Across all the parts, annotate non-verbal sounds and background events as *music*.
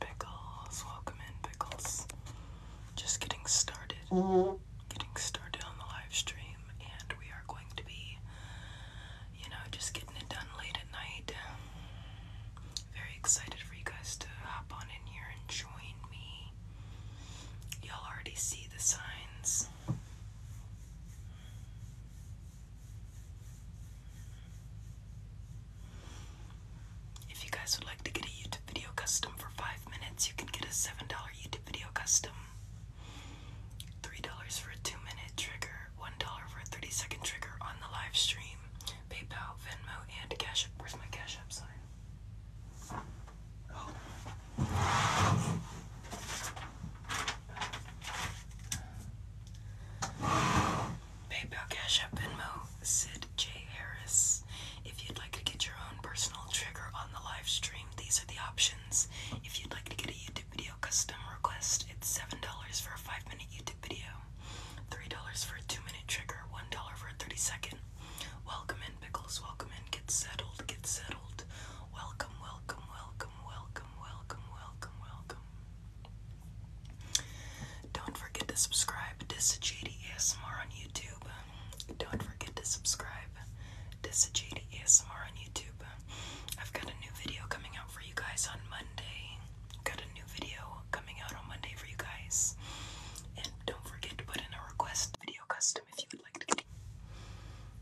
Pickles, welcome in, Pickles. Just getting started. Getting started on the live stream, and we are going to be, you know, just getting it done late at night very excited for you guys to hop on in here and join me. Y'all already see the signs. If you guys would like to get a YouTube video custom for five minutes, you can get a $7 YouTube video custom. $3 for a 2 minute trigger, $1 for a 30 second trigger on the live stream. PayPal, Venmo, and Cash App. Where's my Cash App sign? Oh. PayPal, Cash App, Venmo, Sid J. Harris. If you'd like to get your own personal trigger on the live stream, these are the options. If you'd like to get a YouTube video custom request, it's $7 for a 5 minute YouTube video. $3 for a 2 minute trigger, $1 for a 30 second. Welcome in, Pickles. Welcome in. Get settled. Get settled. Welcome, welcome, welcome, welcome, welcome, welcome, welcome. Don't forget to subscribe. Disajady ASMR on YouTube. Don't forget to subscribe. Disajady ASMR on YouTube. I've got a new video coming out for you guys on Monday got a new video coming out on Monday for you guys. And don't forget to put in a request video custom if you would like to.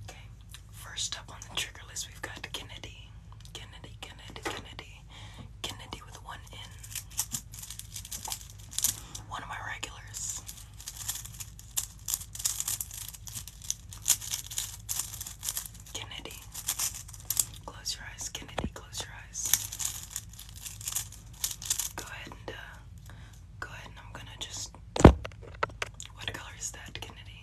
Okay, first up on the trigger list, we've got Kennedy. Kennedy, Kennedy, Kennedy. Kennedy with one N. One of my regulars. Kennedy. Close your eyes, Kennedy. Close your eyes. Go ahead and uh, go ahead I'm gonna just. What color is that, Kennedy?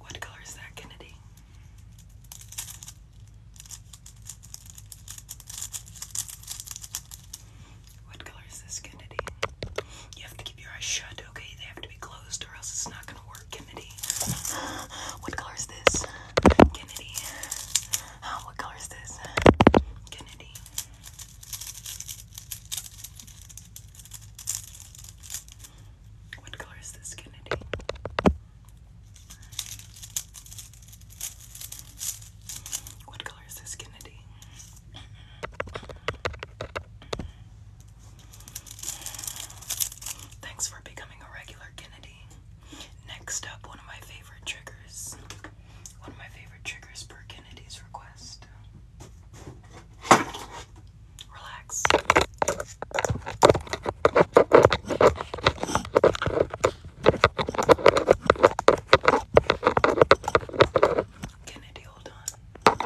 What color is that, Kennedy? What color is this, Kennedy? You have to keep your eyes shut, okay? They have to be closed or else it's not gonna work, Kennedy. What color is this? Kennedy. what color is this? Kennedy. What color is this, Kennedy? What color is this, Kennedy? Thanks for becoming a regular, Kennedy. Next up, one of my favorite triggers. One of my favorite triggers per Kennedy's request. Relax. Kennedy, hold on. Good,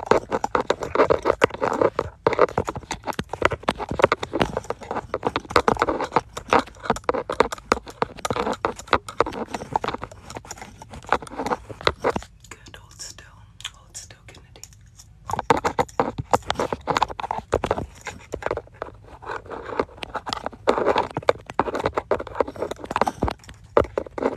hold still, hold still, Kennedy. Good,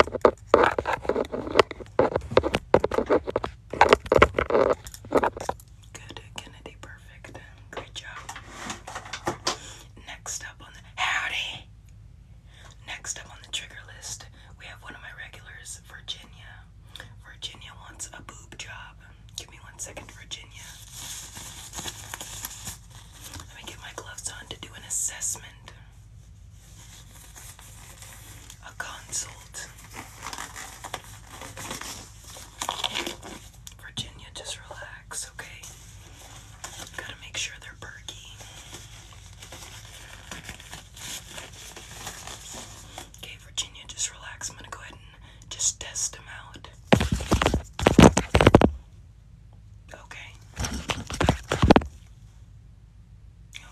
Kennedy, perfect. Great job. Next up on the howdy. Next up on the trigger list, we have one of my regulars, Virginia. Virginia wants a boob job. Give me one second, Virginia. Let me get my gloves on to do an assessment a consult. Virginia, just relax, okay? Gotta make sure they're perky. Okay, Virginia, just relax. I'm gonna go ahead and just test them out. Okay.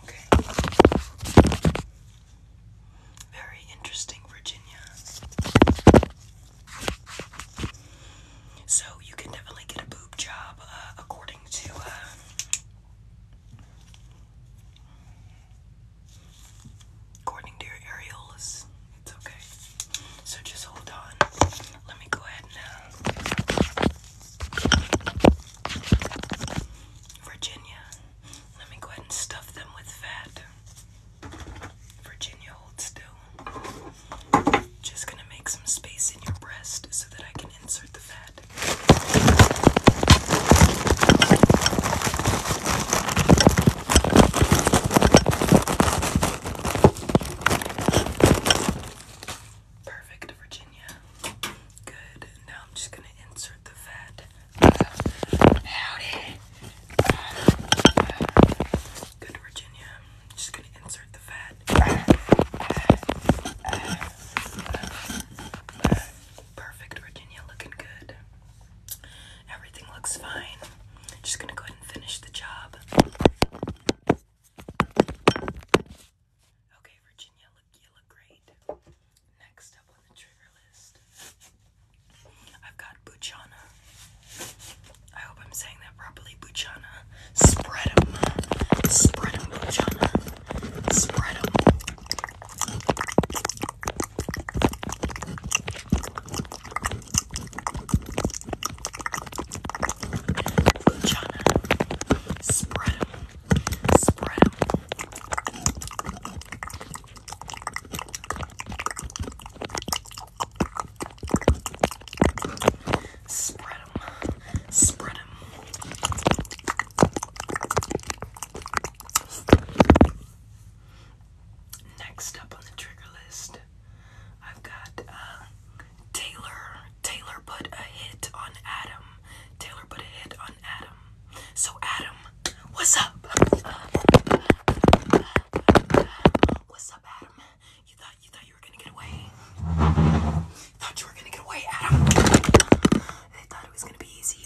Okay. Very interesting, Virginia. So you can definitely get a boob job, uh, according to. Uh, according to your areolas, it's okay. So just hold on. Let me go ahead and uh, Virginia. Let me go ahead and stuff them with fat. Virginia, hold still. Just gonna make some space in your breast so that I can insert the fat. Perfect, Virginia yeah. Good. Now I'm just gonna insert the vet. Howdy. Good, Virginia. I'm just gonna insert the vet. Perfect, Virginia. Looking good. Everything looks fine. Just gonna go ahead and finish the job. Okay, Virginia, look, you look great. Next up on the trigger list, I've got Buchana. I hope I'm saying that properly. Buchana. Spread them. Spread them, Buchana. Spread spread them. Spread them. Spread them. Next up on the trigger list, I've got uh, Taylor Taylor put a hit on Adam. Taylor put a hit on Adam. So, Adam, what's up? What's up, Adam? You thought you thought you were gonna get away. Thought you were gonna get away, Adam. They thought it was gonna be easy.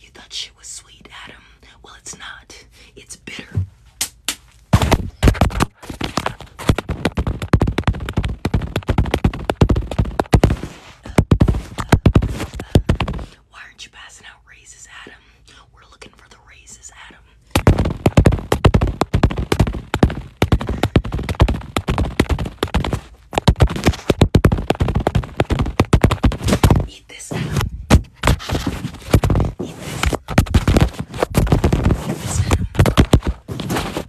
You thought shit was sweet, Adam. Well, it's not. It's bitter. Why aren't you passing out raises, Adam? We're looking for the raises, Adam. Eat this now. Eat this. Eat this now.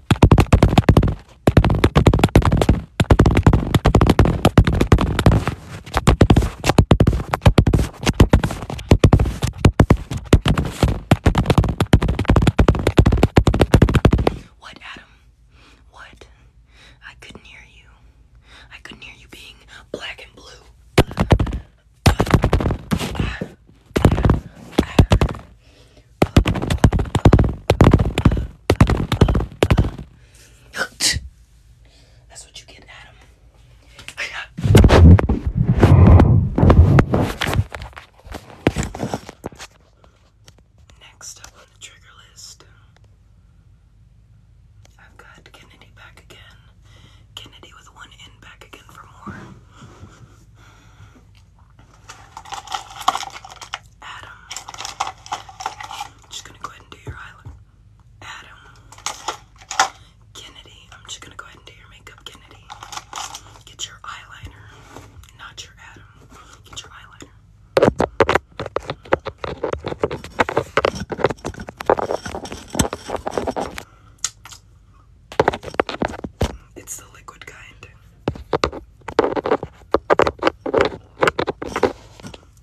What Adam what? I couldn't hear you. I couldn't hear you being black and blue. That's what you get, Adam. Next up on the trigger list, I've got Kennedy back again. Kennedy with one in back again for more. Adam. I'm just gonna go ahead and do your eyelid. Adam. Kennedy. I'm just gonna go ahead and do your makeup, Kennedy. Get your eyeliner. Not your Adam. Get your eyeliner. It's the liquid kind.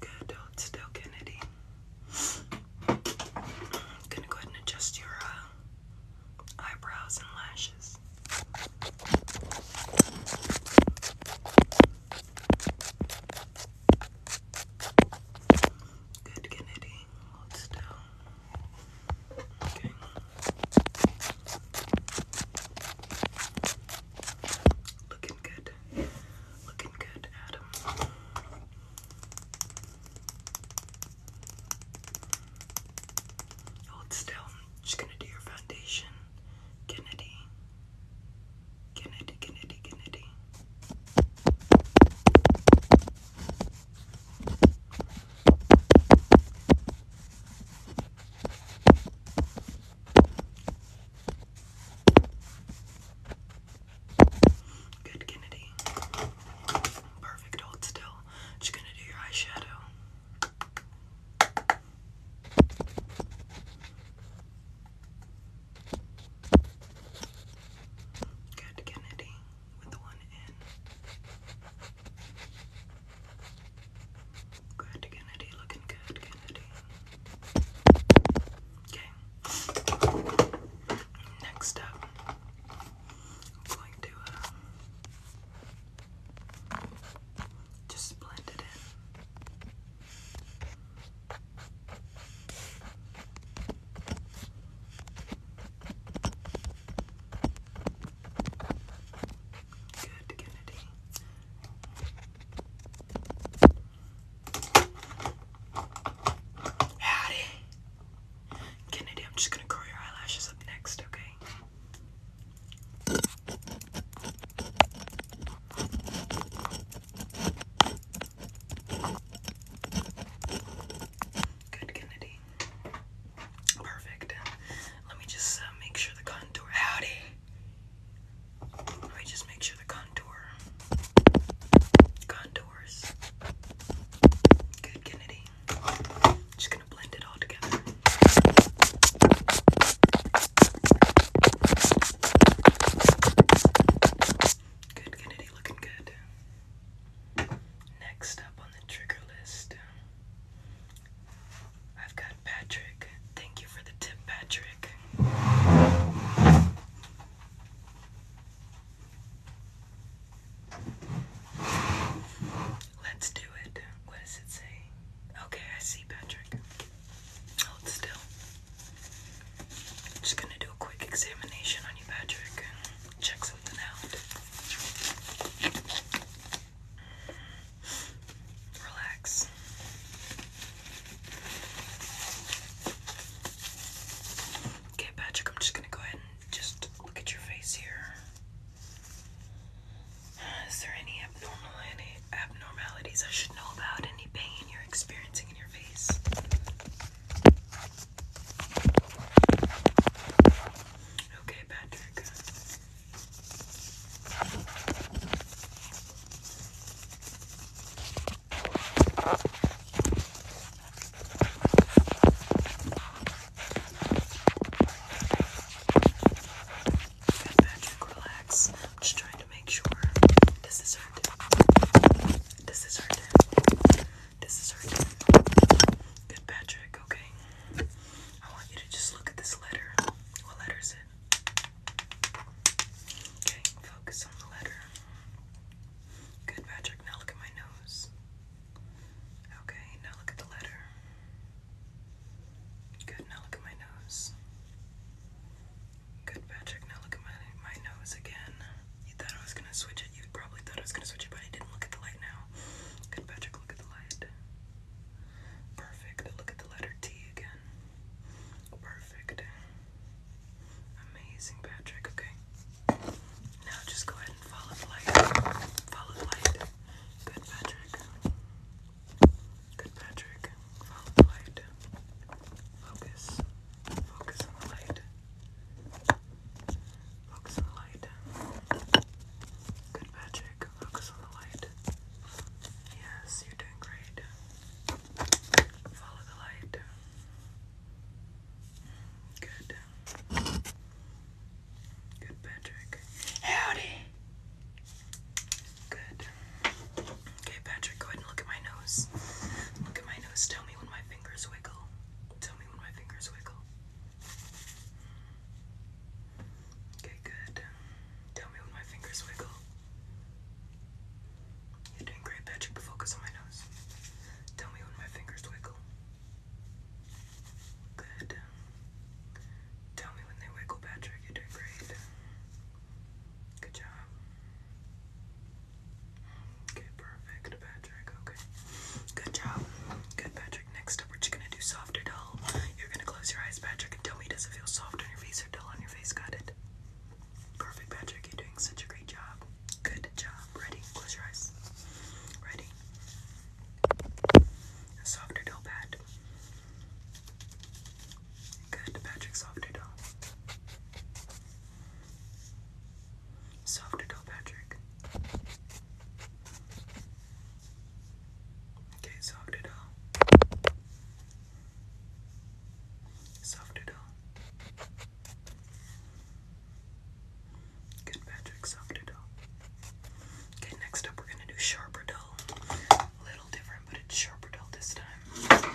Good, hold oh, still, Kennedy. I'm gonna go ahead and adjust your uh, eyebrows and lashes. Good, Kennedy. Hold still. Looking good. Looking good, Adam. Hold still. Just gonna do your foundation, Kennedy. Kennedy, Kennedy, Kennedy. Good, Kennedy. Perfect, hold still. Just gonna do your eyeshadow. Good Kennedy with one in. Good Kennedy, looking good, Kennedy. Okay. Next up, I'm going to uh, just blend it in. Good, Kennedy. Howdy. Kennedy, I'm just gonna curl your eyelashes up next, okay? Good, Kennedy. Perfect. Let me just uh, make sure the contour. Howdy. Let me just make sure the contour. Contours. Good, Kennedy. Just gonna blend it all together. Good, Kennedy, looking good. Next up on the trigger list, I've got Patrick. Thank you for the tip, Patrick. Let's do it. What does it say? Okay, I see Patrick. Hold still. Just gonna do a quick examination on you, Patrick, check something out. Relax. Okay, Patrick, I'm just gonna go ahead and just look at your face here. Is there any abnormal abnormalities I should know about, any pain you're experiencing in your face. Okay, Patrick. Good Patrick, relax. I'm just trying to make sure. This is her This is her This is her Good Patrick, okay? I want you to just look at this letter. What letter is it? Okay, focus on the letter. Good Patrick, now look at my nose. Okay, now look at the letter. Good, now look at my nose. Good, Patrick. Now look at my, my nose again. You thought I was gonna switch it. You probably thought I was gonna switch it, but I didn't look at the light now. Good, Patrick. Look at the light. Perfect. Look at the letter T again. Perfect. Amazing, Patrick. Okay. Now just go ahead and follow the light. Follow the light. Good, Patrick. Good, Patrick. Follow the light. Focus. Focus on the light. Focus on the light. Good, Patrick. Focus on the light. Yes, you're doing great. Follow the light. Good. Good, Patrick. Howdy. Good. Okay, Patrick, go ahead and look at my nose. Look at my nose. Tell me when my fingers wiggle. Tell me when my fingers wiggle. Okay, good. Tell me when my fingers wiggle. You're doing great, Patrick. Focus on my nose. Tell me when my fingers wiggle. Good. Tell me when they wiggle, Patrick. You're doing great. Good job. Okay, perfect, Patrick. Okay. Good job. Good, Patrick. Next up, we're just gonna do soft or dull. You're gonna close your eyes, Patrick, and tell me does it feel soft on your face or dull on your face? Got it? Perfect, Patrick. You're doing such a great job. Good job. Ready? Close your eyes. Ready? A soft or dull pad. Good, Patrick, soft doodle. Soft doodle, Patrick. Okay, soft doodle. Soft doodle. Good, Patrick, soft doodle. Okay, next up we're gonna do sharper dough. Little different but it's Sharperdoll this time.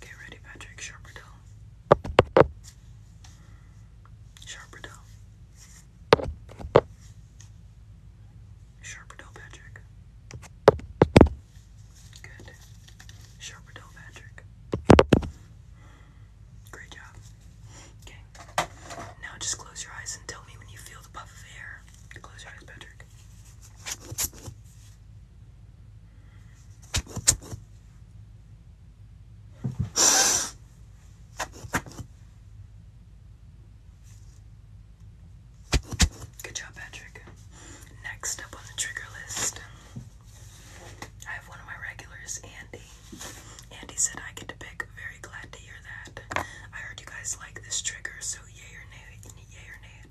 Get ready, Patrick. Sharperdoll. Sharperdoll. Sharperdoll, Patrick. Good. Sharperdoll, Patrick. Great job. Okay. Now just close your eyes and tell me when you feel the puff of air. Close your eyes, Patrick. Good job, Patrick. Next up on the trigger list, I have one of my regulars, Andy. Andy said I get to pick. Very glad to hear that. I heard you guys like this trigger, so yay or nay, yay or nay.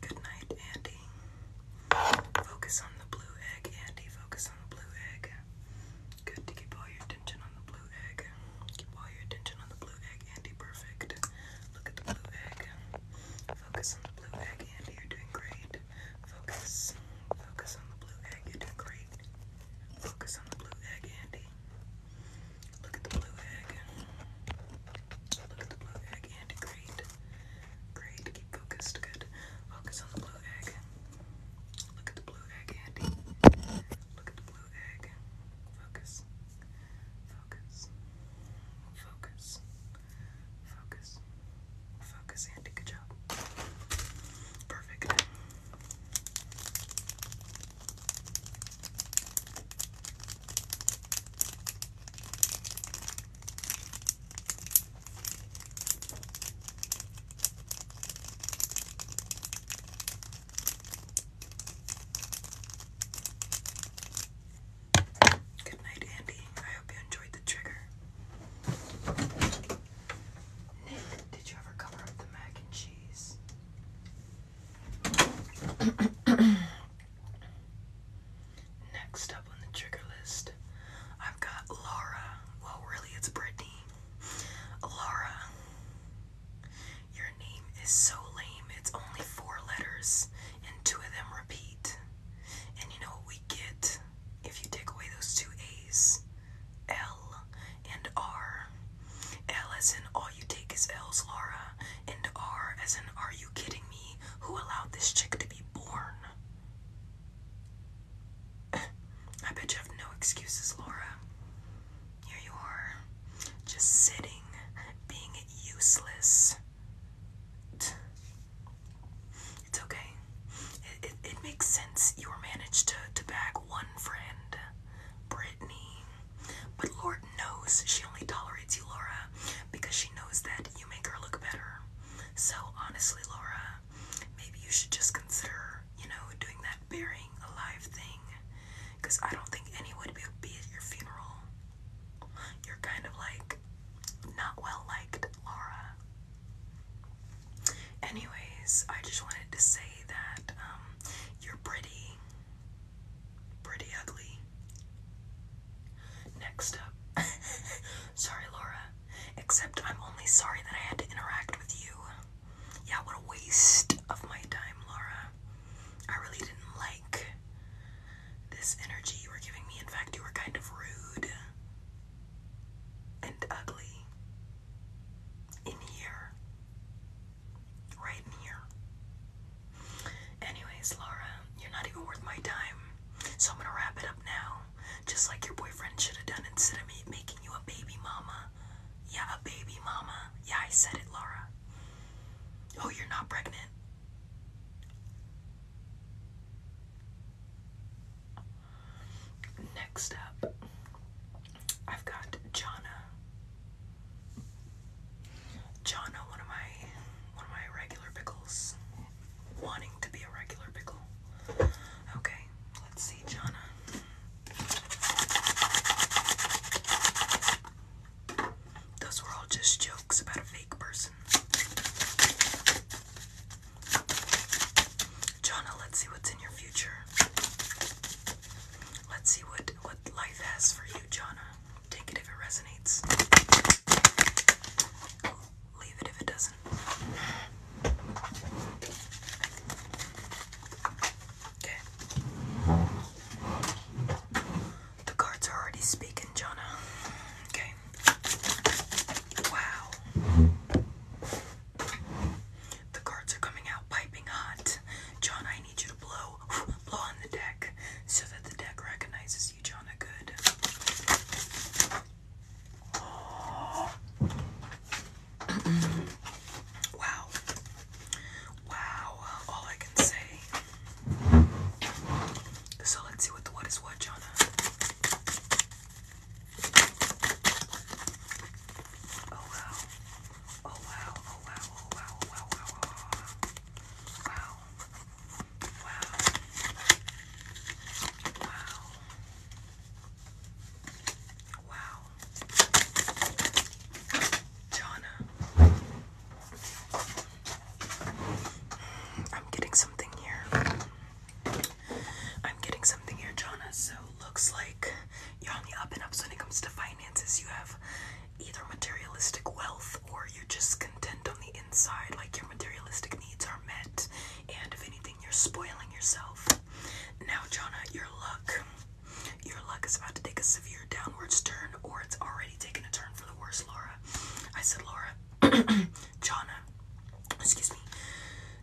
Good night, Andy. Focus on the blue egg, Andy. Focus on the blue egg. Good to keep all your attention on the blue egg. Keep all your attention on the blue egg, Andy. Perfect. Look at the blue egg. Focus on the blue egg, Andy. You're doing great. Focus. Focus on the blue egg. You're doing great. Focus on the blue egg, Andy. Look at the blue egg. Look at the blue egg and great. Great. Keep focused. Good. Focus on the blue egg. Look at the blue egg, Andy. Look at the blue egg. Focus. Focus. Focus. Focus. Focus, Andy. Good job. Perfect. Good night, Andy. I hope you enjoyed the trigger. Nick, did you ever cover up the mac and cheese? *coughs* Next up on the trigger list, I've got Laura. Well, really, it's Brittany. Laura, your name is so lame. It's only four letters, and two of them repeat. And you know what we get if you take away those two A's? L and R. L as in all you take is L's, Laura, and R as in are you kidding me? Who allowed this chick to be born? *laughs* I bet you have no excuses, Laura. Here you are, just sitting, being useless. It's okay. It, it, it makes sense. You were managed to, to bag one friend, Brittany. But Lord knows she only tolerates you, Laura, because she knows that you make her look better. So honestly, Laura, maybe you should just consider, you know, doing that burying alive thing. Because I don't think anyone would be at your funeral. You're kind of like not well liked, Laura. Anyways, I just wanted to say that um, you're pretty. Pretty ugly. Next up. *laughs* sorry, Laura. Except I'm only sorry that I had to interact with you. Yeah, what a waste of my time, Laura. I really didn't like this energy you were giving me. In fact, you were kind of rude and ugly. In here right here. Anyways, Laura, you're not even worth my time, so I'm gonna wrap it up now. Just like your boyfriend should have done instead of me making you a baby mama. Yeah, a baby mama. Yeah, I said it, Laura. Oh, you're not pregnant. Next up, I've got Jonna. Jono, one of my one of my regular pickles, wanting to be a regular pickle. Okay, let's see, Jonna. Those were all just jokes about a fake person. Jonna, let's see what's in your future. Let's see what what life has for you. Jana. Take it if it resonates. Leave it if it doesn't. Okay. The cards are already speaking, Jana. Okay. Wow. The cards are coming out piping hot. John, I need you to blow, *laughs* blow on the deck so that the deck recognizes you, Jonna. Good. *clears throat* wow. Wow. All I can say. So let's see what the what is what, Jonna. Oh wow. Oh wow, oh wow, oh wow, oh wow, wow, oh, wow, wow. Wow. Wow. Wow. Jonna. I'm getting something here. I'm getting something here, Jonna. So looks like you're on the up and up so when it comes to finances. You have either materialistic wealth or you're just content on the inside, like your materialistic needs are met, and if anything, you're spoiling yourself. Now, Jonna, your luck. Your luck is about to take a severe downwards turn, or it's already taken a turn for the worse, Laura. I said, Laura, *clears throat* Jonna, excuse me.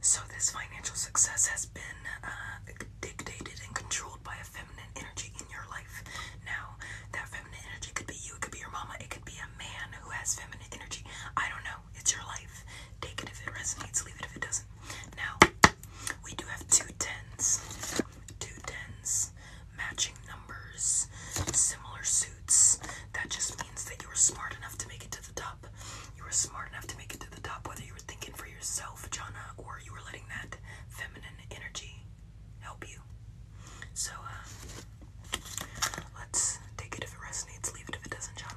So, this financial success has been uh, dictated and controlled by a feminine energy in your life. Now, that feminine energy could be you, it could be your mama, it could be a man who has feminine energy. I don't know. It's your life. Take it if it resonates, leave it if it doesn't. Now, we do have two tens. Two tens. Matching numbers. Similar suits. That just means that you were smart enough to make it to the top. You were smart enough to make it to the top, whether you were thinking for yourself, Jana, or you were letting that feminine energy help you. So, uh, let's take it if it resonates, leave it if it doesn't, Jana.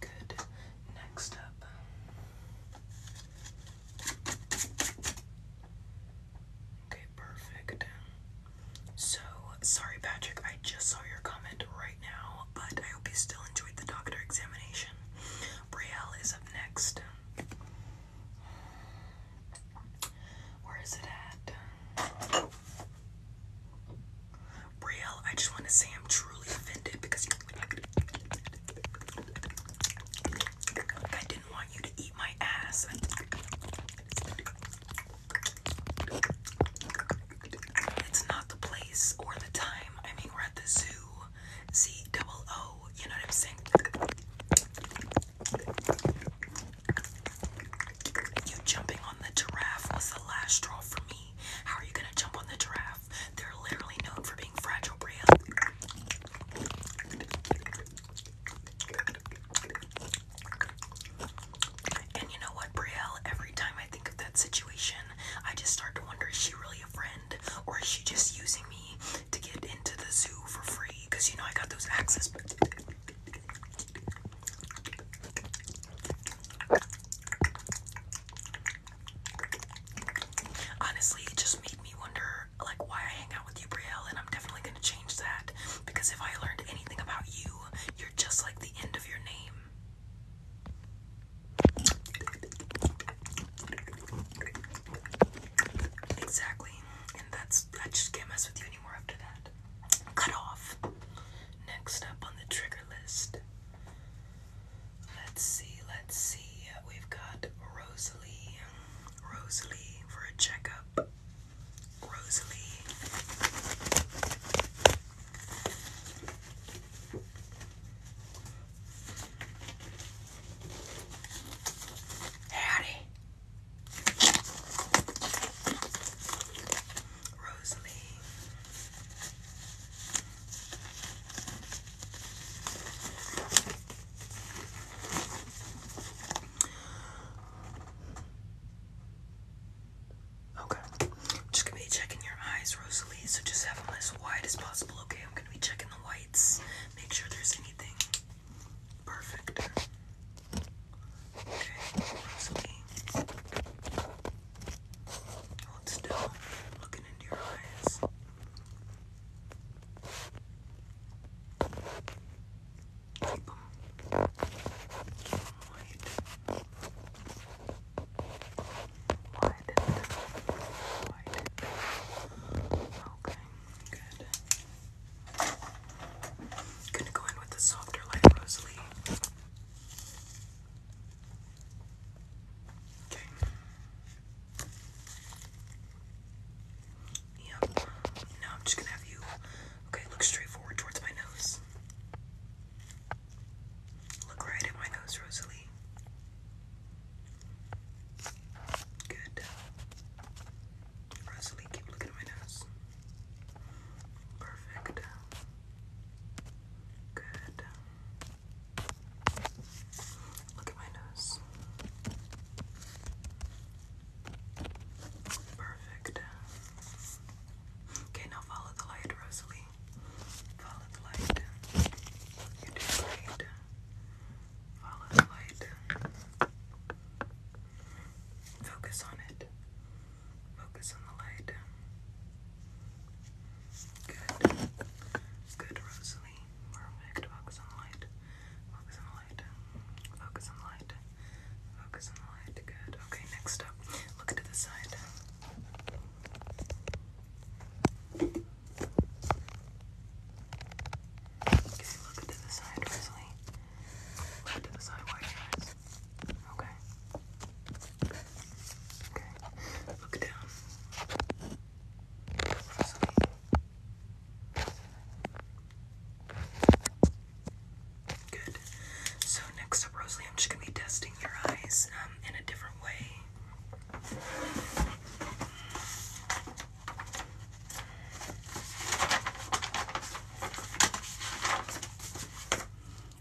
Good. Next up. Okay, perfect. So, sorry Patrick, I just saw your comment right now, but I hope you still enjoyed the doctor examination. Brielle is up next. Where is it at? Brielle, I just want to say I'm truly offended because I didn't want you to eat my ass. It's not the place or the time. I mean, we're at the zoo. Z double O. You know what I'm saying? You jumping on the giraffe was the last straw for me. How are you gonna jump on the giraffe? They're literally known for being fragile, Bria. And you know what, Brielle? Every time I think of that situation, I just start to wonder is she really a friend? Or is she just using me to get into the zoo for free? Because you know I got those access. *laughs* Honestly, it just made me wonder like why I hang out with you, Brielle, and I'm definitely gonna change that because if I learned anything about you, you're just like the end of your name. Exactly. And that's, I just can't mess with you anymore after that. Cut off. Next up on the trigger list. Let's see, let's see. We've got Rosalie. Rosalie for a checkup. Rosalie. Howdy. Rosalie. Okay. I'm just gonna be checking your eyes, Rosalie. So just have them as wide as possible, okay? I'm gonna be checking the whites. Make sure there's anything. Perfect. Okay, Rosalie. Oh, still. Looking into your eyes. Right. Right. Right. Okay, Gonna go in with the softer light Rosalie. Okay. Yep. Now I'm just gonna have you Okay, look straight forward towards my nose. Look right at my nose, Rosalie. Good. Rosalie, keep looking at my nose. Perfect. Good. Look at my nose. Perfect. Okay, now follow the light, Rosalie. Follow the light. You did great. Follow the light. Focus on it. Focus on the light. Good. Good, Rosalie. Perfect. Focus on the light. Focus on the light. Focus on the light. Focus on the light. Good. Okay, next up, look to the side. Okay, look to the side, Wesley. Look to the side, white eyes. Okay. Okay. Look down. Wesley. Good. So next up, Rosalie, I'm just gonna be testing your eyes um, in a different way.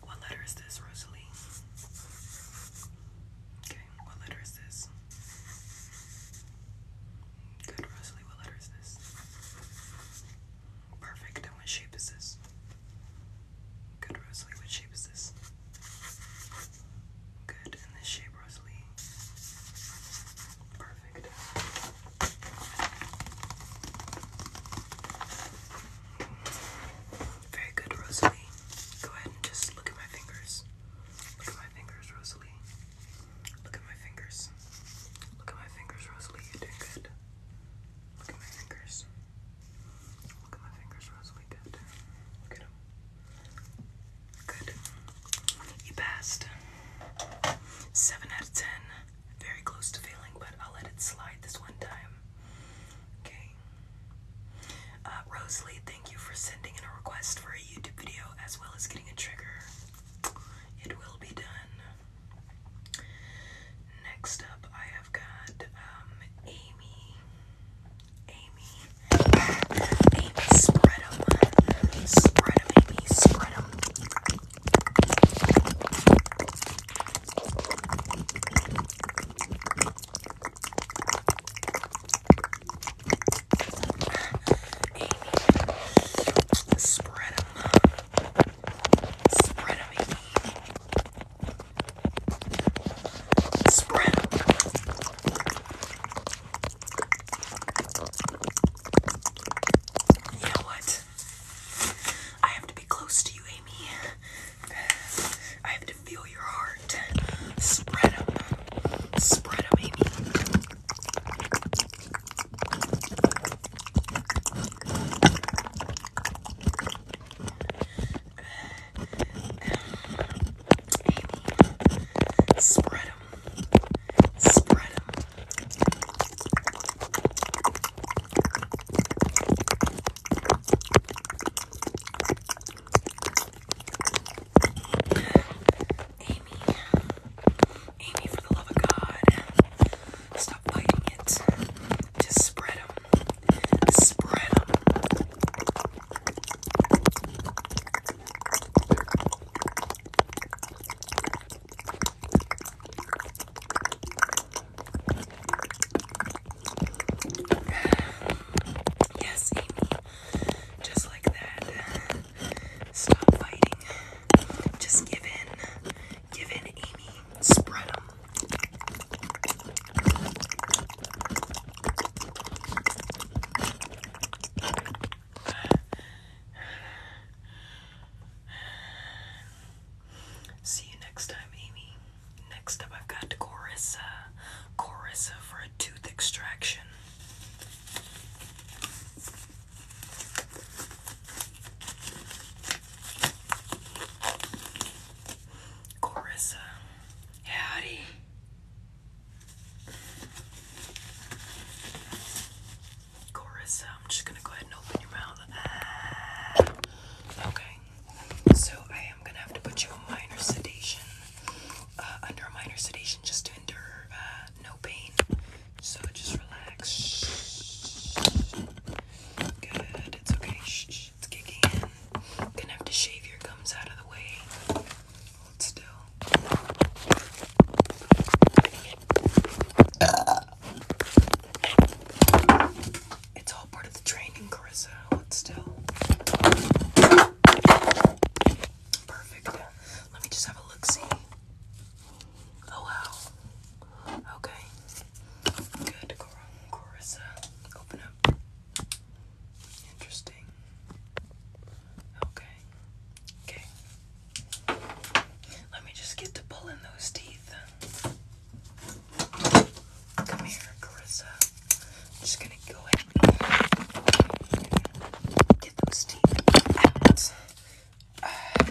What letter is this, Rosalie? Okay, what letter is this? Good, Rosalie, what letter is this? Perfect. And what shape is this? Good, Rosalie. What shape is this? Good. And this shape, Rosalie. Perfect. Very good, Rosalie. Go ahead and just look at my fingers. Look at my fingers, Rosalie. Look at my fingers. Look at my fingers, Rosalie. You're doing good. Look at my fingers. Look at my fingers, Rosalie. Good. Look at them. Good. You passed. 7 out of 10. Very close to failing, but I'll let it slide this one time. Okay. Uh, Rosalie, thank you for sending in a request for a YouTube video as well as getting a trigger. It will be done. Next up, I have got um, Amy. Amy. Amy, spread them. Amy. Spread Amy, spread Spread them. Spread them. what? I have to be close to you, Amy. I have to feel your heart. Spread them. Spread Amy, spread them, spread them. Amy, Amy, for the love of God, stop biting it. Just spread them. Spread them. Yes, Amy. Just like that. Stop fighting. Just give in. Give in, Amy. Spread See you next time, Amy. Next up, I've got Corissa. Corissa for a tooth extraction. Carissa. Howdy. Carissa, I'm just gonna go ahead and open your mouth. Ah. Okay. So I am gonna have to put you on minor sedation. Uh, under minor sedation just to endure uh, no pain. So just relax. Good, it's okay. Shh, it's kicking in. Gonna have to shave your gums out of the way. Hold still. It's all part of the training, Carissa. Hold still. Perfect. Let me just have a look see. Oh wow. Okay. Good Corissa. Open up. Interesting. Okay. Okay. Let me just get to pulling those teeth. Come here, Carissa. just gonna go ahead get those teeth out. Uh,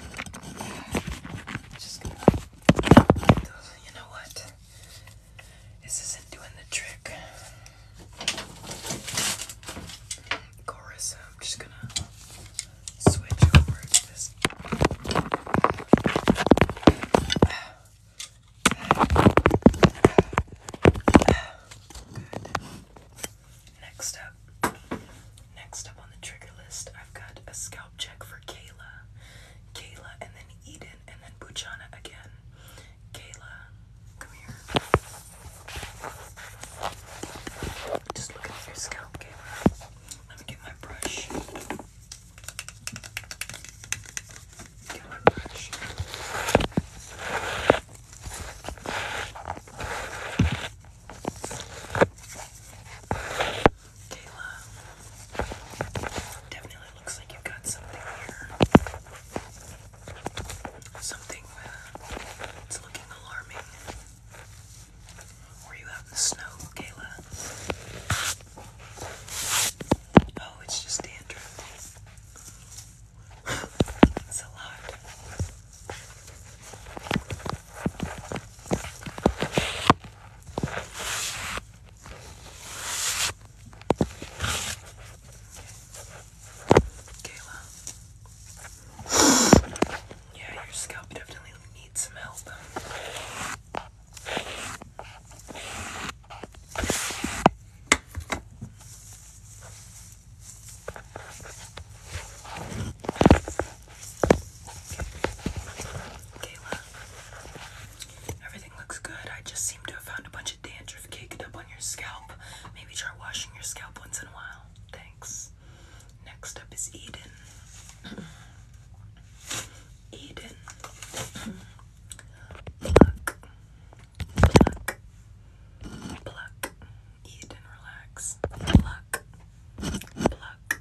just gonna you know what? This isn't doing the trick. Chorus, I'm just gonna switch over to this. Next up, next up on the trigger list, I've got a scalp check for Kayla. Kayla and then Eden and then Bujana again. Kayla, come here. Just look at your scalp, Kayla. Let me get my brush. Get my brush. Kayla, definitely looks like you got something here. Something uh, that's looking alarming. Were you out in the snow, Kayla? Oh, it's just dandruff. That's *laughs* a lot. Kayla. Yeah, your scalp definitely needs some help. Kayla, everything looks good. I just seem to have found a bunch of dandruff caked up on your scalp. Maybe try washing your scalp once in a while. Thanks. Next up is Eden. *clears throat* Eden. Pluck. Pluck. Pluck. Eden, relax. Pluck. Pluck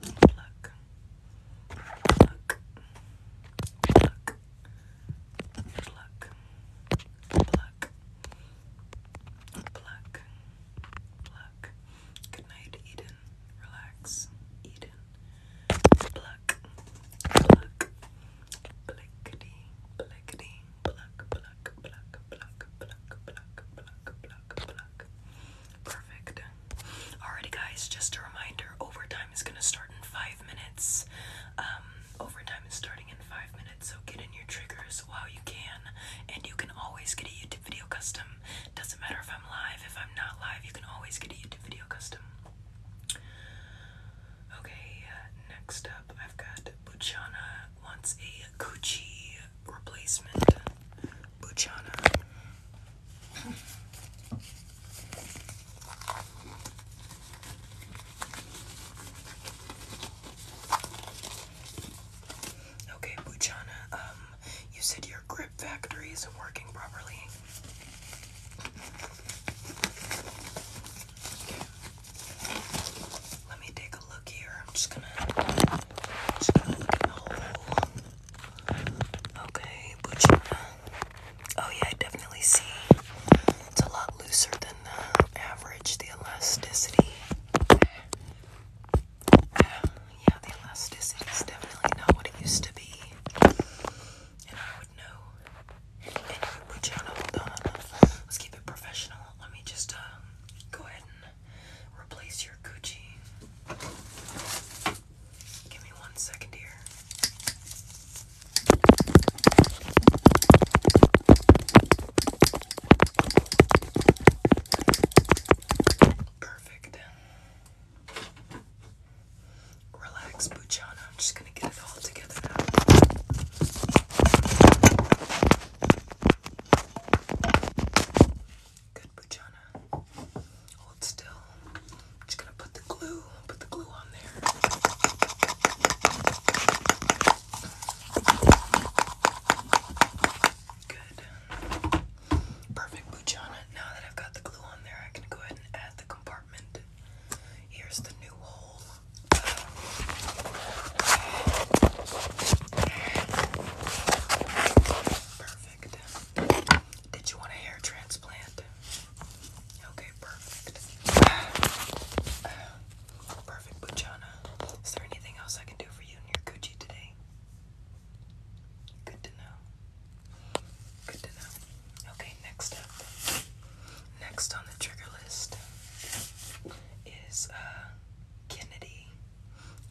Pluck. Pluck. Pluck. Pluck. Pluck. Pluck. Pluck. Good night, Eden. Relax, Eden. Pluck. Pluck. Blickety. Blickety. Pluck. Pluck. Pluck. Pluck. Pluck. Pluck. Pluck. Pluck. Pluck. Perfect. Alrighty, guys, just a reminder overtime is going to start in five minutes. Um, overtime is starting in five minutes, so get in your triggers while you can. And you can always get a YouTube video custom. Doesn't matter if I'm live, if I'm not live, you can always get a YouTube video custom. Okay, next up, I've got Luciana wants a Gucci replacement Buchana. Okay, Buchana, um, you said your grip factory isn't working properly. Let me take a look here. I'm just gonna, just gonna look at the Okay, Bucina. Oh yeah, I definitely see it's a lot looser than the average, elasticity. yeah, the elasticity is definitely not what it used to be. And I would know. Anyway, Bucina, hold on. Uh, let's keep it professional. Let me just um, go ahead and replace your Gucci. Give me one second here. Perfect. Relax, Buchana. I'm just gonna get it all together now. Good, Bujana. Hold still. just gonna put the glue, put the glue on there. Good. Perfect, Bujana. Now that I've got the glue on there, I can go ahead and add the compartment. Here's the new hole. Perfect. Did you want a hair transplant? Okay, perfect. perfect, Bujana. Is there anything else I can do for you and your Gucci today? Good to know. Good to know. Okay, next up. Next on the trigger list is uh, Kennedy.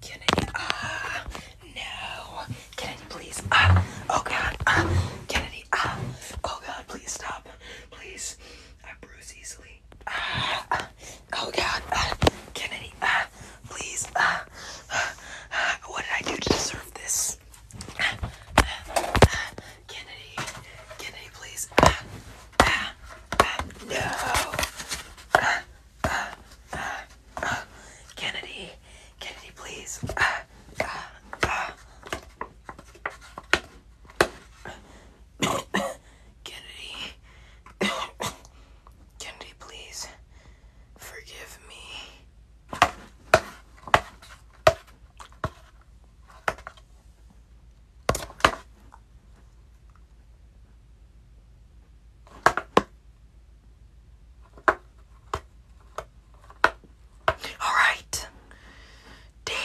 Can I? Ah, uh, no. Kennedy, please. Ah, uh, oh God. Ah, uh, Kennedy. Ah, uh, oh God. Please stop. Please. I bruise easily. Ah, oh God. Ah, Kennedy. Ah, please. Ah, what did I do to deserve this? Kennedy. Kennedy, please. Ah, ah, no. Kennedy, Kennedy, please. Kennedy, Kennedy, please forgive me. All right. Damn.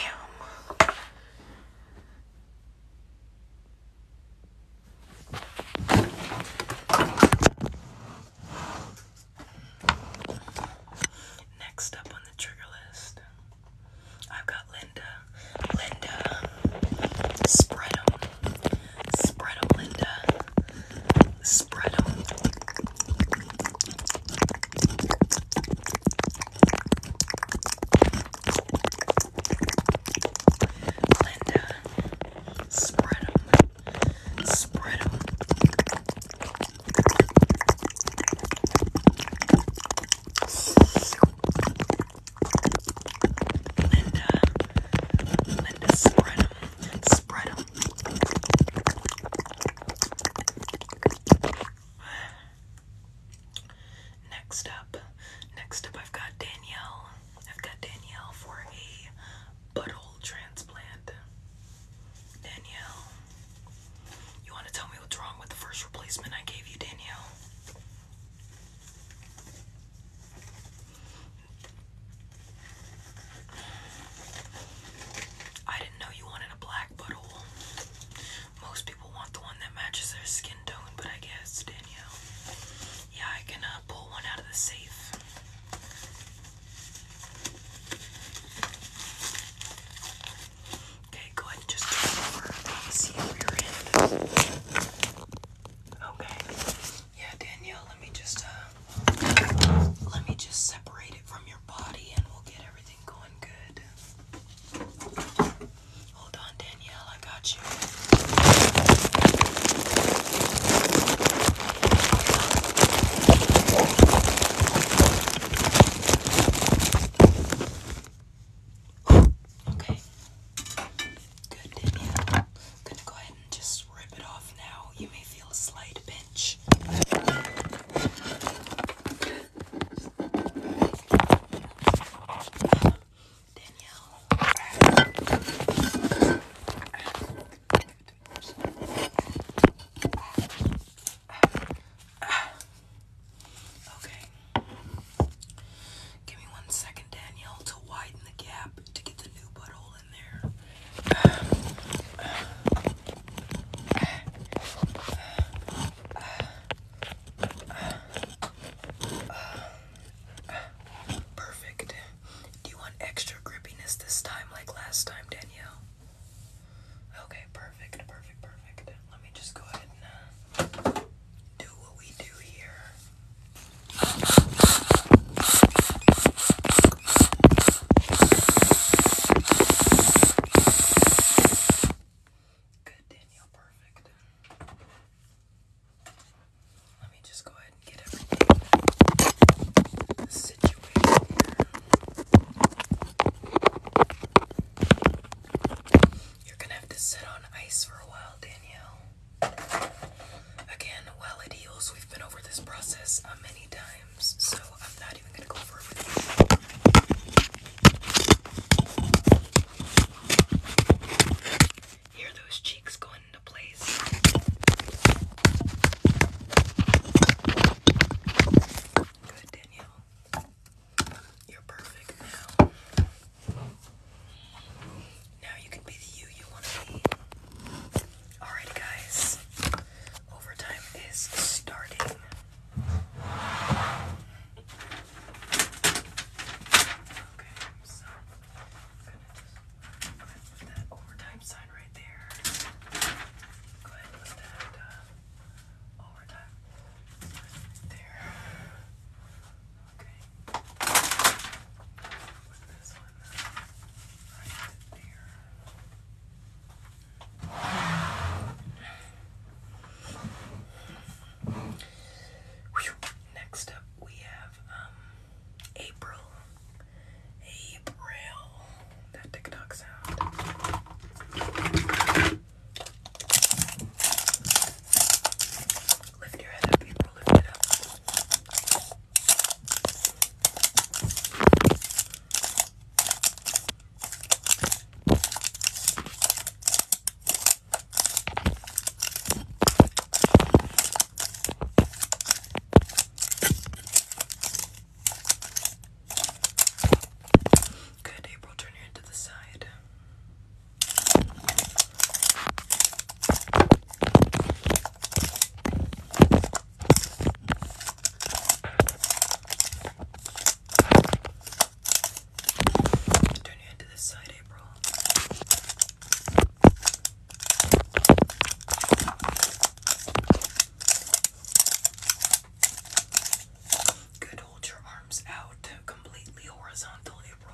Next up on the trigger list, I've got Linda. Linda Spreadem. Spread them, Linda. Spread them. Linda, spread them. Spread them. Linda, Linda, spread them. Spread them. Next up, next up, I've got Danielle. I've got Danielle for a butthole transplant. Danielle, you want to tell me what's wrong with the first replacement I gave you, Danielle? I didn't know you wanted a black butthole. Most people want the one that matches their skin tone, but I guess, Danielle. Yeah, I can uh, pull one out of the safe. Okay, go ahead and just turn over. see where your hand is. Okay. Yeah, Danielle, let me just uh, let me just separate it from your body and we'll get everything going good. Hold on, Danielle, I got you. Okay. Good, Danielle. I'm gonna go ahead and just rip it off now. You may feel a slight pinch. Danielle. Okay. Give me one second, Danielle, to widen the gap to get the new butthole Perfect. Do you want extra grippiness this time, like last time, Danielle? Okay, perfect, perfect, perfect. Let me just go ahead and uh, do what we do here. Good, Danielle, perfect. Let me just go ahead and get everything situated here. You're gonna have to sit on ice for a while, Danielle. Again, well it heals, we've been over this process uh, many times, so I'm not even gonna go over it with Hear those cheeks going into place. Good, Daniel. You're perfect now. Now you can be the you you want to be. Alright, guys. Overtime is starting. Okay, I'm going go ahead and put that overtime sign right there. Go ahead and put that uh, overtime right there. Okay right there. Whew. Next up, we have um, April. April. That TikTok sound. Lift your head up, April. Lift it up. Good, April, turn your head to the side. Turn your head to this side, April. Good, hold your arms out completely horizontal, April.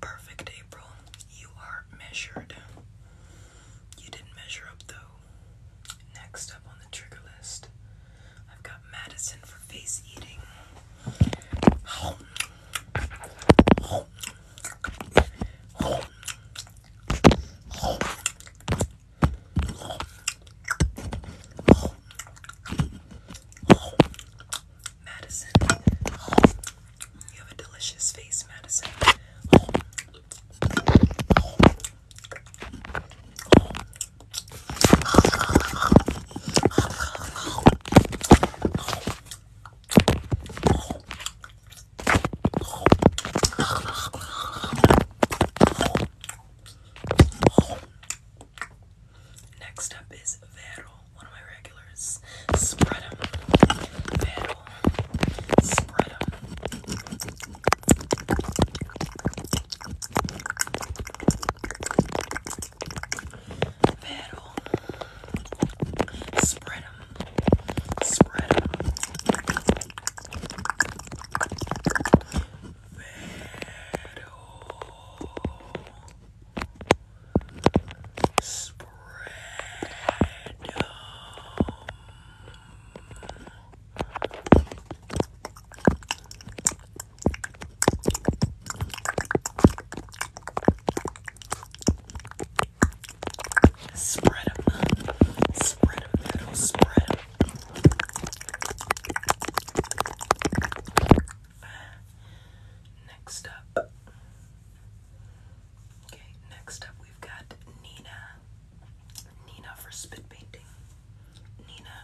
Perfect, April. You are measured. You didn't measure up though. Next up on the trigger list I've got Madison for face eating. Madison, you have a delicious face, Madison. Next up is Vero, one of my regulars. Spread them. Vero. Spread them. Pero spread them, spread them. Spread them, spread them, spread them. Next up, okay. Next up, we've got Nina. Nina for spit painting. Nina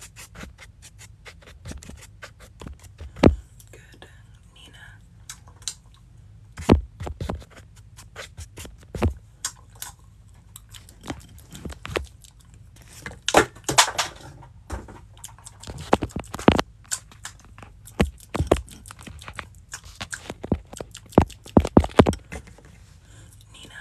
Good, Nina. Nina.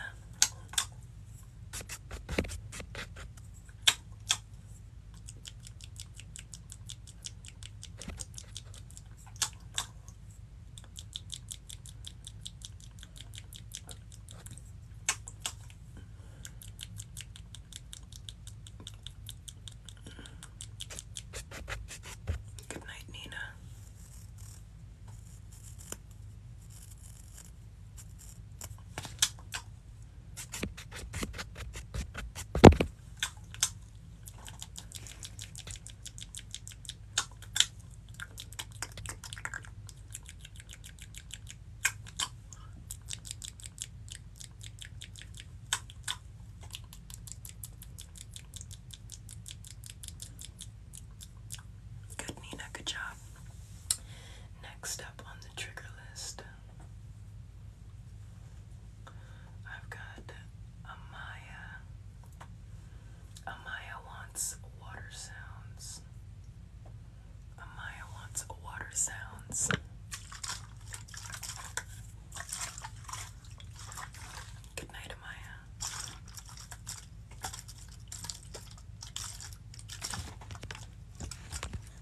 Good night, Nina. Good, Nina. Good job. Next up on the trigger list, I've got Amaya. Amaya wants water sounds. Amaya wants water sounds. Good night, Amaya. Good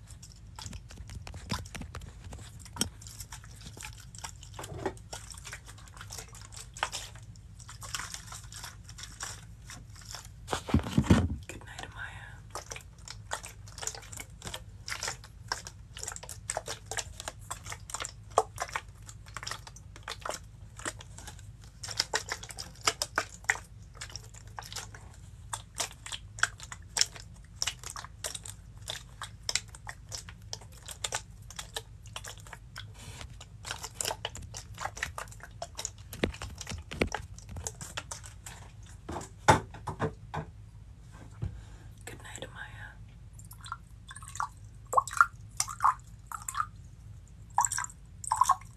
night, Amaya. Good night, Amaya.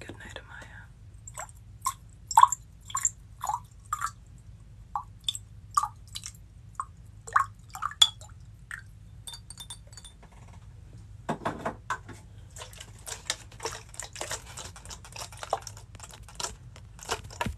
Good night, Amaya.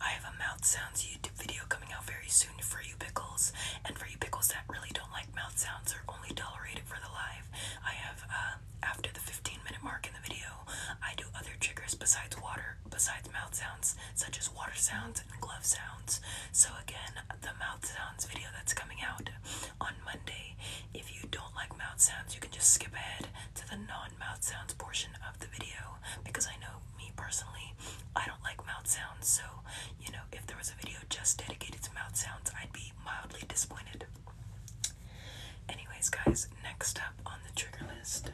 I have a mouth sounds YouTube video coming out very soon for you pickles, and for you pickles that really don't like mouth sounds or only tolerate it for the live. I have uh, after the 15 minute mark in the video, I do other triggers besides water, besides mouth sounds, such as water sounds and glove sounds. So again, the mouth sounds video that's coming out on Monday. If you don't like mouth sounds, you can just skip ahead to the non mouth sounds portion of the video because I know me personally, I don't like mouth sounds. So, you know, if there was a video just dedicated to mouth sounds, I'd be mildly disappointed. Anyways, guys, next up on the trigger list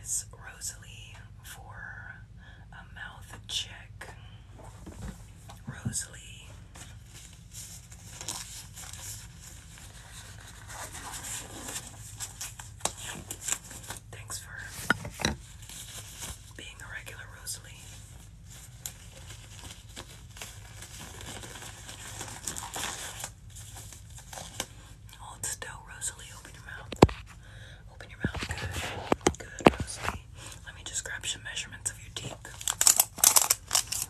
is Rosalie for a mouth check. Rosalie Thanks for being a regular Rosalie. Hold still, Rosalie. Open your mouth. Open your mouth. Good. Good, Rosalie. Let me just grab some measurements of your teeth.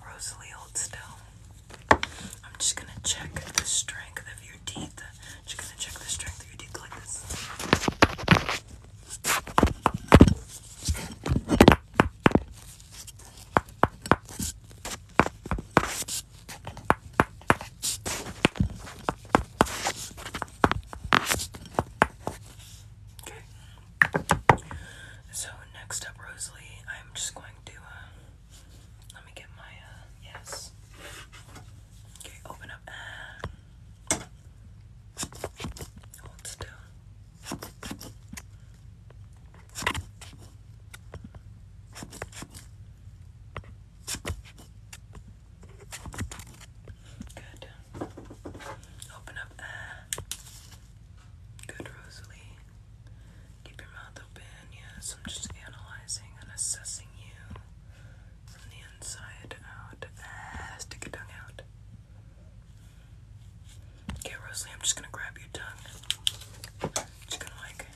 Rosalie, hold still. I'm just gonna check the strength of your teeth. Just gonna check the strength of your teeth like this. Okay. So next up, Rosalie, I'm just going to, uh, let me get my, uh, yes. Okay, open up. Uh, hold still. Good. Open up Good, Rosalie. Keep your mouth open. Yes, I'm just analyzing and assessing you from the inside out. Ah, stick your tongue out. Okay, Rosalie, I'm just gonna grab your tongue you gonna like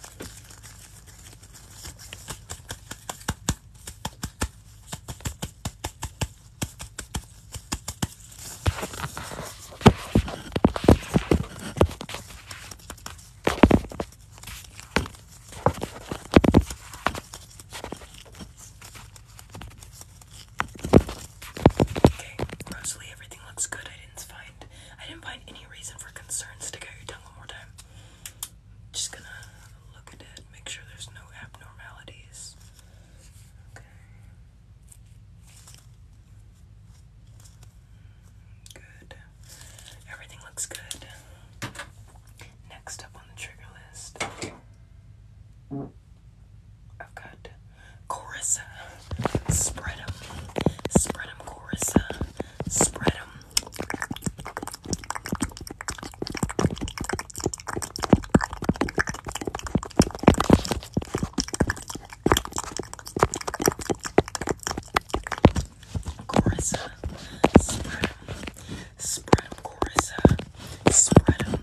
Okay, Rosalie, everything looks good. I didn't find any reason for concerns. Stick out your tongue one more time. Just gonna look at it, make sure there's no abnormalities. Okay. Good. Everything looks good. Next up on the trigger list, I've got Corissa. Spread 'em. Spread 'em, Corissa. Spread 'em. Carissa, uh, spread them, spread them, Carissa, uh, spread them.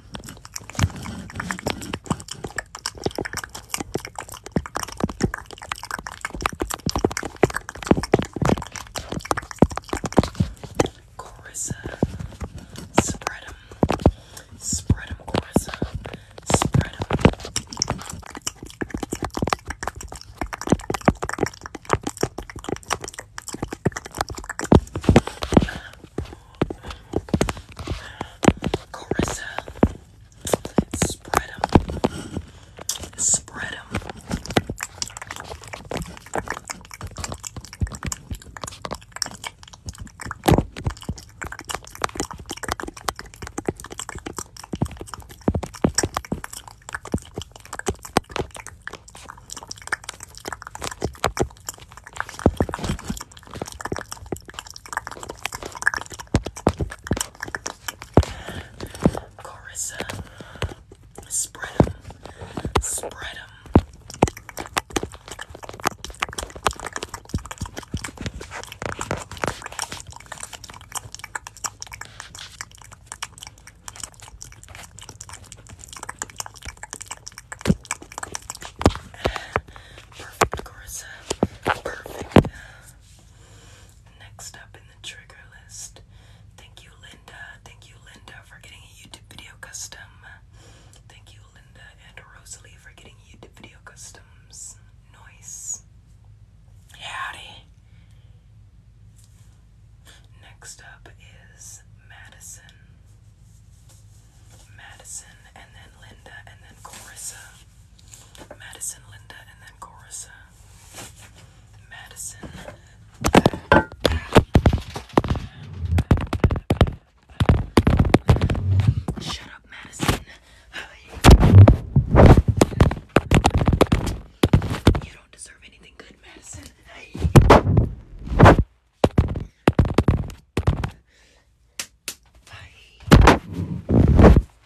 Carissa, spread them, spread them, Carissa, spread them. Carissa, Spread them. Spread them. Corissa, Spread them. Spread them. Perfect, Carissa. Perfect. Next up in the trigger list, thank you, Linda. Thank you, Linda, for getting a YouTube video custom. Thank you, Linda and Rosalie, for getting YouTube video customs. Noise. Howdy. Next up is Madison. Madison, and then Linda, and then Corissa. Madison, Linda, and then Corissa. Madison. Shut up, Madison. You don't deserve anything good, Madison. Bye.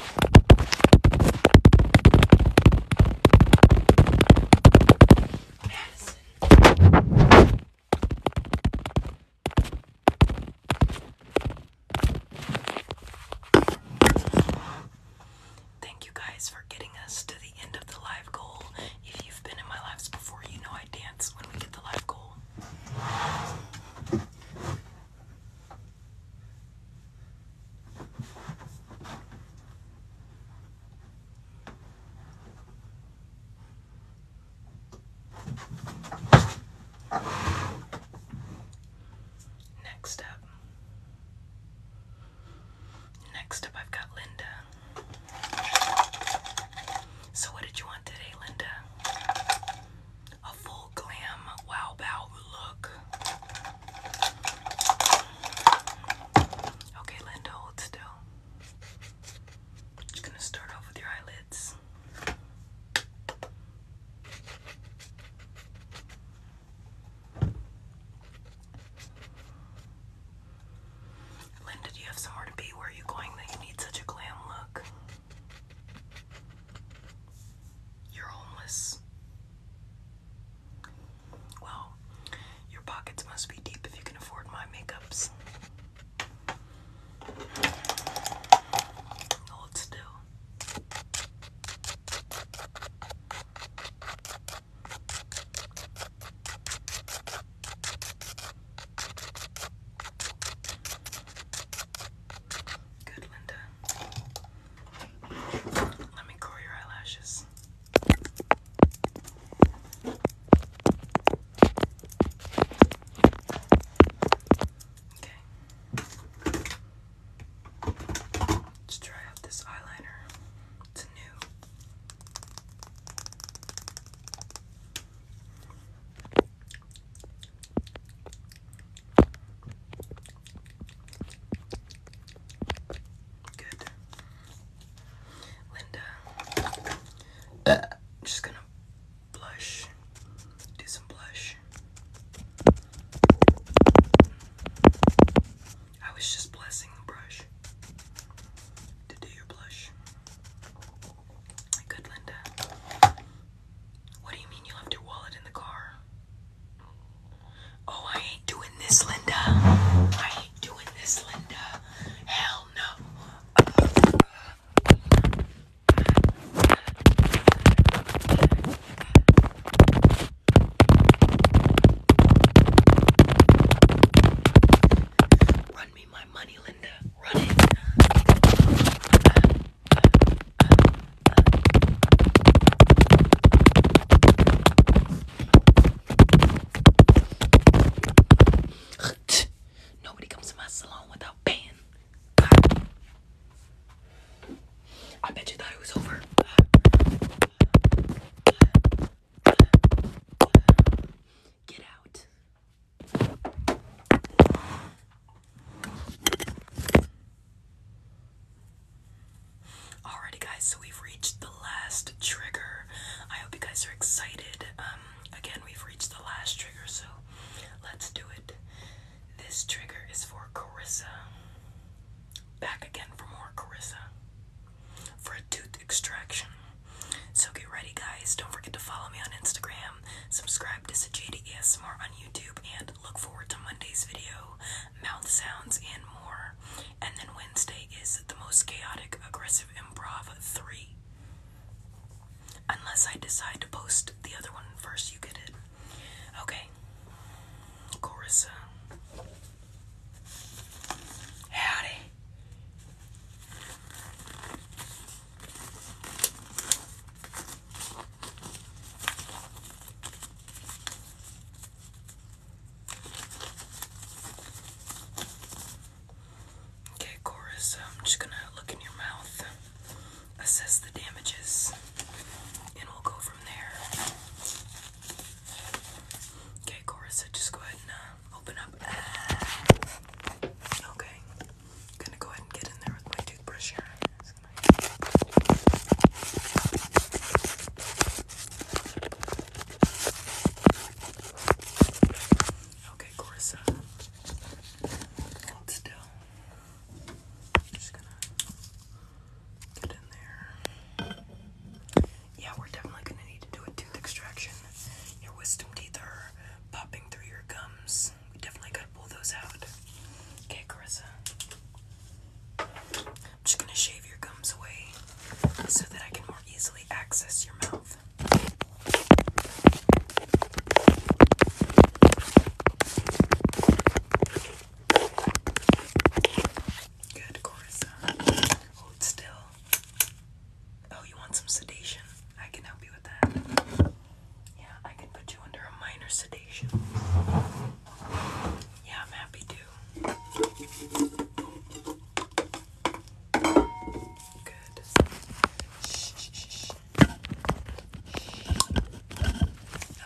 Thank you guys for getting us to the end of the live goal. If you've been in my lives before, you know I dance when we get the live goal. Next up. Next up, I've got Linda. So, what did you want today, Linda? a full glam wow bow look. Okay, Linda, hold still. Just gonna start off with your eyelids. Linda, do you have somewhere to be? Where are you going that you need such a glam look? You're homeless. Well, your pockets must be deep if you can afford my makeups. Hold still. Good, Linda. Let me curl your eyelashes. Okay. Let's try out this eyeliner. It's new. Good. Linda. i uh. just gonna blush. Do some blush. I was just blessing the brush to do your blush. Good, Linda. What do you mean you left your wallet in the car? Oh, I ain't doing this, Linda. I ain't doing this, Linda. Hell no. Run me my money, Linda. Run it. Nobody comes to my salon without paying. I bet you thought it was over. Get out. Alrighty, guys, so we've reached the last trigger. I hope you guys are excited. Um, again, we've reached the last trigger, so let's do it. This trigger is for Carissa. Back again for more Carissa for a tooth extraction. So get ready, guys. Don't forget to follow me on Instagram, subscribe to Sajada more on YouTube, and look forward to Monday's video, mouth sounds, and more. And then Wednesday is the most chaotic, aggressive improv three. Unless I decide to post the other one first, you get it. Okay. Carissa. Howdy. Okay, Chorus, I'm just gonna look in your mouth, assess the damages, and we'll go from there. Okay, Chorus, just go ahead and uh, open up. Okay, gonna go ahead and get in there with my toothbrush here. Okay, Corissa. Hold still. Just gonna get in there. Yeah, we're definitely gonna need to do a tooth extraction. Your wisdom teeth are popping through your gums. We definitely gotta pull those out. Okay, Carissa. I'm just gonna shave your gums away so that I can more easily access your mouth. Good, Corissa. Hold still. Oh, you want some sedation? I can help you with that. Yeah, I can put you under a minor sedation. Yeah, I'm happy to. Good. Shh, shh, shh.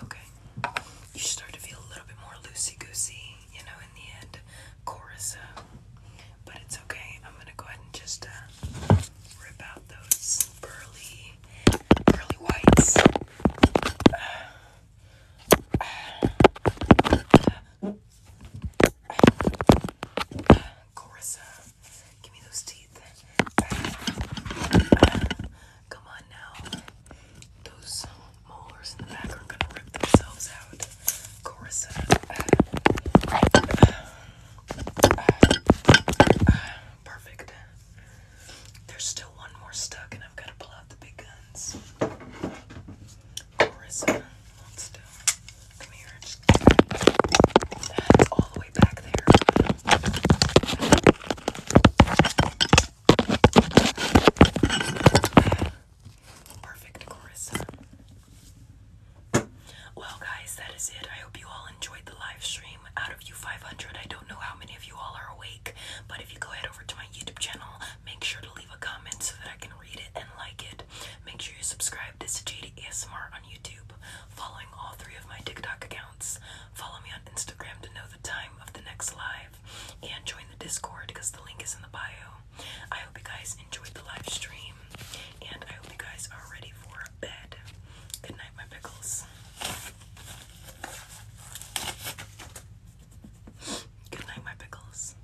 Okay. You start to feel a little bit more loosey goosey, you know, in the end, chorizo. Uh, but it's okay. I'm gonna go ahead and just uh, rip out those pearly, pearly whites. Uh, Corissa, give me those teeth. Come on now. Those molars in the back are gonna rip themselves out. Corissa. Perfect. There's still one more stuck, and I've got to pull out the big guns. Marissa, hold still. Come here. That's all the way back there. Perfect, Carissa. Well, guys, that is it. I hope you all enjoyed the live stream. Out of you 500, I don't know how many of you all are awake. But if you go ahead over to my YouTube channel, make sure to leave a comment so that I can read it and like it. Make sure you subscribe to Sajidi on YouTube, following all three of my TikTok accounts. Follow me on Instagram to know the time of the next live, and join the Discord because the link is in the bio. I hope you guys enjoyed the live stream, and I hope you guys are ready for bed. Good night, my pickles. Good night, my pickles.